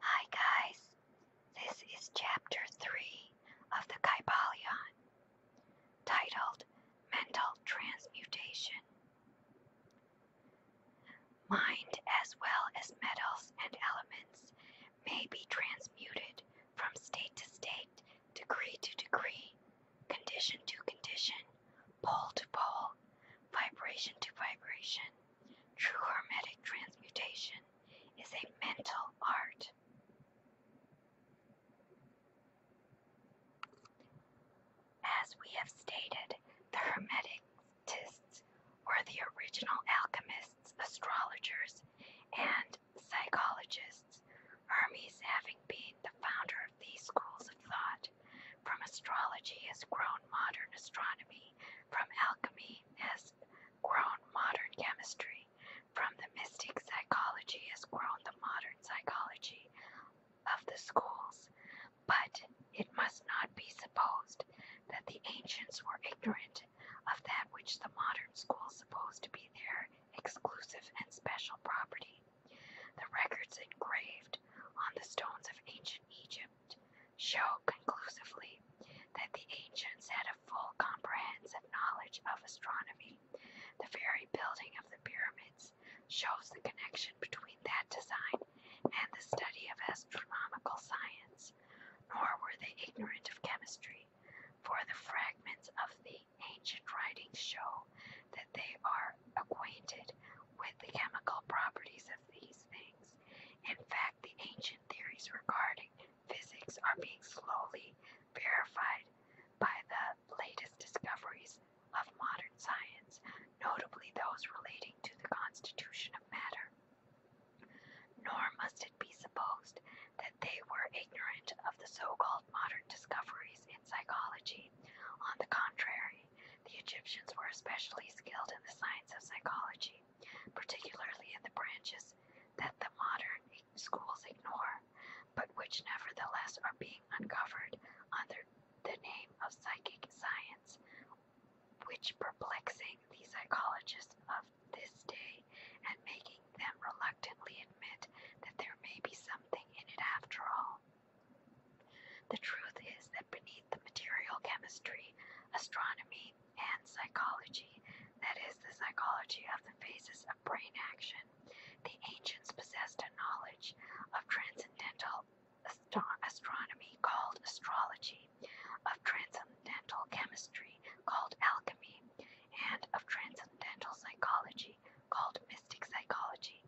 Hi guys, this is chapter 3 of the Kybalion, titled Mental Transmutation. Mind as well as metals and elements may be transmuted from state to state, degree to degree, condition to condition, pole to pole, vibration to vibration. True hermetic transmutation is a mental art. As we have stated, the hermeticists were the original alchemists, astrologers, and psychologists, Hermes having been the founder of these schools of thought. From astrology has grown modern astronomy. From alchemy has grown modern chemistry. From the mystic psychology has grown the modern psychology of the schools. But it must not be supposed that the ancients were ignorant of that which the modern schools suppose to be their exclusive and special property. The records engraved on the stones of ancient Egypt show conclusively that the ancients had a full comprehensive knowledge of astronomy. The very building of the pyramids shows the connection between that design and the study of astronomical science, nor were they ignorant of chemistry, for the fragments of the ancient writings show that they are acquainted with the chemical properties of these things. In fact, the ancient theories regarding physics are being slowly verified by the latest discoveries of modern science, notably those relating to the constitution of matter. Nor must it be supposed that they were ignorant of the so called modern discoveries in psychology. On the contrary, the Egyptians were especially skilled in the science of psychology, particularly in the branches that the modern schools ignore, but which nevertheless are being uncovered under the name of psychic science, which perplexing the psychologists of this day and making them reluctantly admit that there may be something in it after all. The truth is that beneath the material chemistry, astronomy, and psychology, that is, the psychology of the phases of brain action, the ancients possessed a knowledge of transcendental astronomy called astrology, of transcendental chemistry called alchemy, and of transcendental psychology called mystic psychology.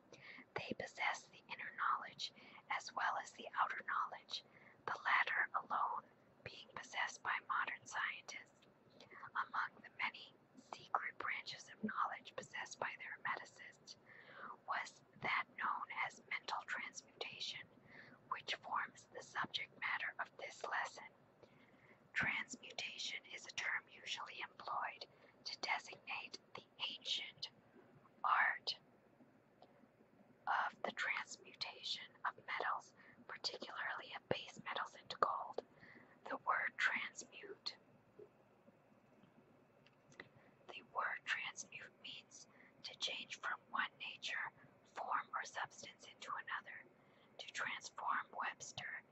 They possess the inner knowledge as well as the outer knowledge, the latter alone being possessed by modern scientists. Among the many secret branches of knowledge possessed by their Hermeticists was that known as mental transmutation, which forms the subject matter of this lesson. Transmutation is a term usually employed to designate the ancient art of the transmutation of metals, particularly of base metals into gold. The word transmute. The word transmute means to change from one nature, form, or substance into another, to transform Webster's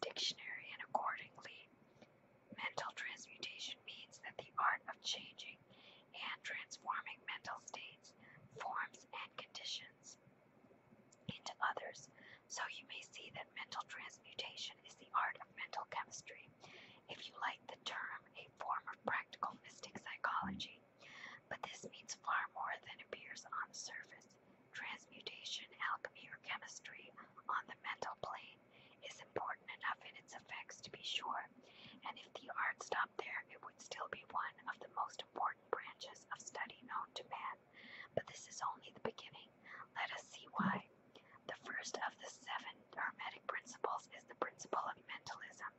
dictionary, and accordingly, Mental transmutation means that the art of changing and transforming mental states, forms, and conditions into others. So you may see that mental transmutation is the art of mental chemistry. If you like the term, a form of practical mystic psychology. But this means far more than appears on the surface. Transmutation, alchemy, or chemistry on the mental plane is important enough in its effects to be sure, and if the art stopped there, it would still be one of the most important branches of study known to man. But this is only the beginning. Let us see why. The first of the seven Hermetic principles is the principle of mentalism,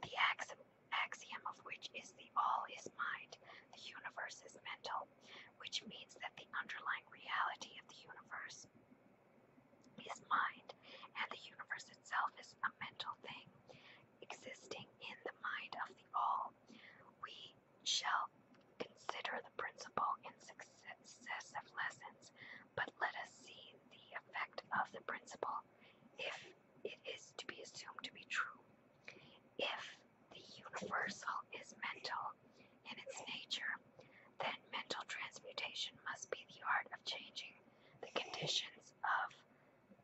the axiom, of which is the all is mind, the universe is mental, which means that the underlying reality of the universe is mind, and the universe itself is a mental thing existing in the mind of the all. We shall consider the principle in successive lessons, but let us see the effect of the principle if it is to be assumed to be true. If the universal is mental, in its nature, then mental transmutation must be the art of changing the conditions of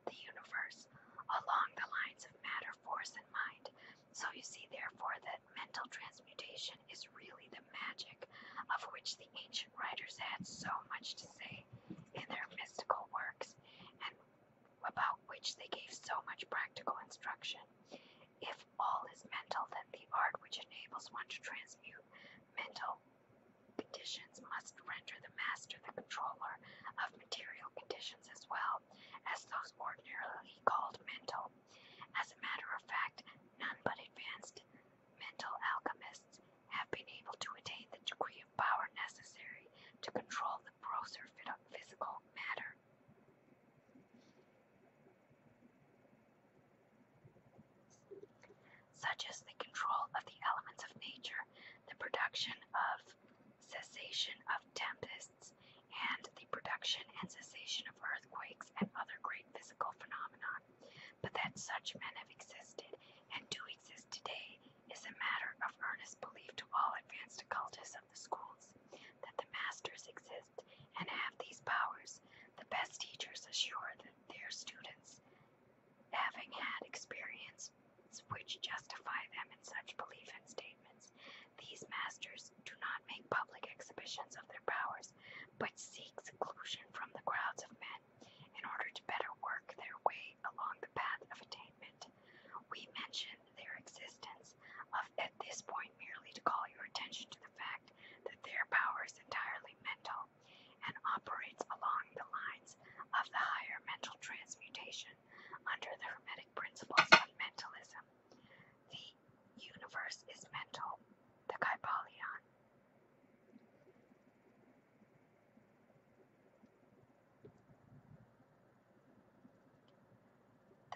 the universe along the lines of matter, force, and mind. So you see, therefore, that mental transmutation is really the magic of which the ancient writers had so much to say in their mystical works and about which they gave so much practical instruction. If all is mental, then the art which enables one to transmute mental conditions must render the master the controller of material conditions as well as those ordinarily called mental. As a matter of fact, none but advanced mental alchemists have been able to attain the degree of power necessary to control the grosser physical matter such as the control of the elements of nature, the production of cessation of tempests, and the production and cessation of earthquakes and other great physical phenomena. But that such men have existed and do exist today is a matter of earnest belief to all advanced occultists of the schools. That the masters exist and have these powers, the best teachers assure that their students, having had experience which justify them in such belief and statements, these masters do not make public exhibitions of their powers, but seek seclusion from the crowds of men in order to better work their way along the path of attainment. We mention their existence at this point merely to call your attention to the fact that their power is entirely mental and operates along the lines of the higher mental transmutation under the Hermetic principles of mentalism. The universe is mental, the Kybalion.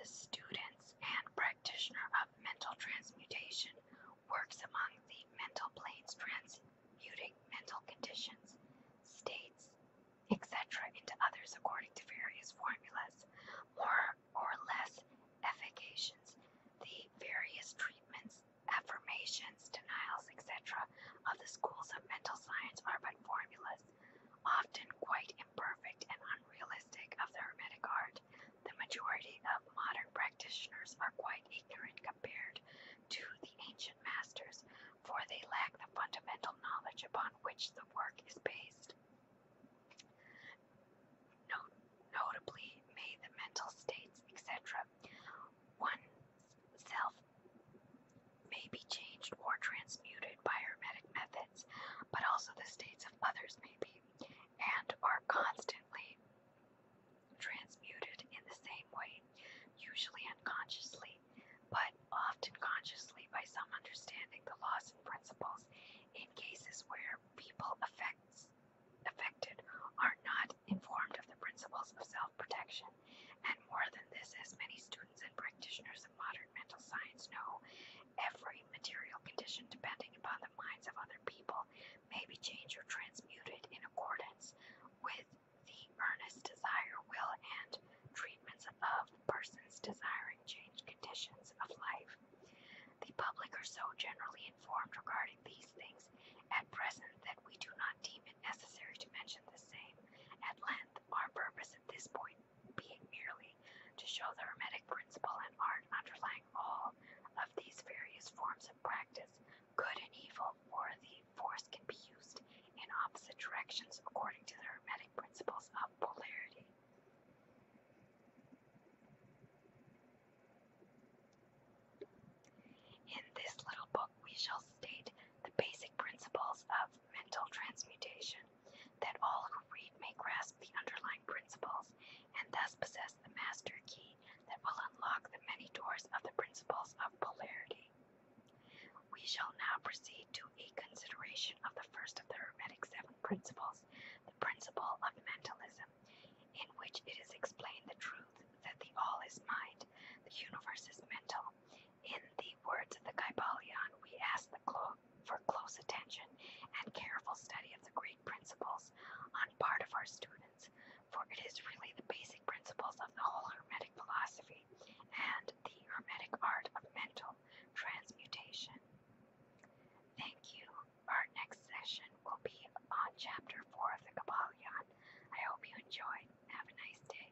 The students and practitioner of mental transmutation works among the mental planes transmuting mental conditions, states, etc. into others according to various formulas, more or less efficacious. The various treatments, affirmations, denials, etc. of the schools of mental science are but formulas, often quite imperfect and unrealistic of the Hermetic art. The majority of modern practitioners are quite ignorant compared to the ancient masters, for they lack the fundamental knowledge upon which the work is based. notably, may the mental states, etc., one's self may be changed or transmuted by hermetic methods, but also the states of others may be and are constantly transmuted in the same way, usually unconsciously, but often consciously by some understanding the laws and principles in cases where people affected are not informed of the principles of self-protection. And more than this, as many students and practitioners of modern mental science know, every material condition depending upon the minds of other people may be changed or transmuted in accordance with the earnest desire, will, and treatments of persons desiring changed conditions of life. The public are so generally informed regarding these things at present that we do not deem it necessary to mention the same at length. Our purpose at this point being merely to show the Hermetic principle and art underlying all of these various forms of practice, good and evil, for the force can be used in opposite directions according to the Hermetic principles of polarity. In this little book, we shall state the basic principles of mental transmutation that all who read may grasp the underlying principles and thus possess the master key that will unlock the many doors of the principles of polarity. We shall now proceed to a consideration of the first of the Hermetic Seven Principles, the principle of mentalism, in which it is explained the truth that the all is mind, the universe is mental. In the words of the Kybalion, we ask the for close attention and careful study of the great principles on part of our students, for it is really the basic principles of the whole Hermetic philosophy and the Hermetic art of mental transmutation. Thank you. Our next session will be on Chapter 4 of the Kabbalion. I hope you enjoy. Have a nice day.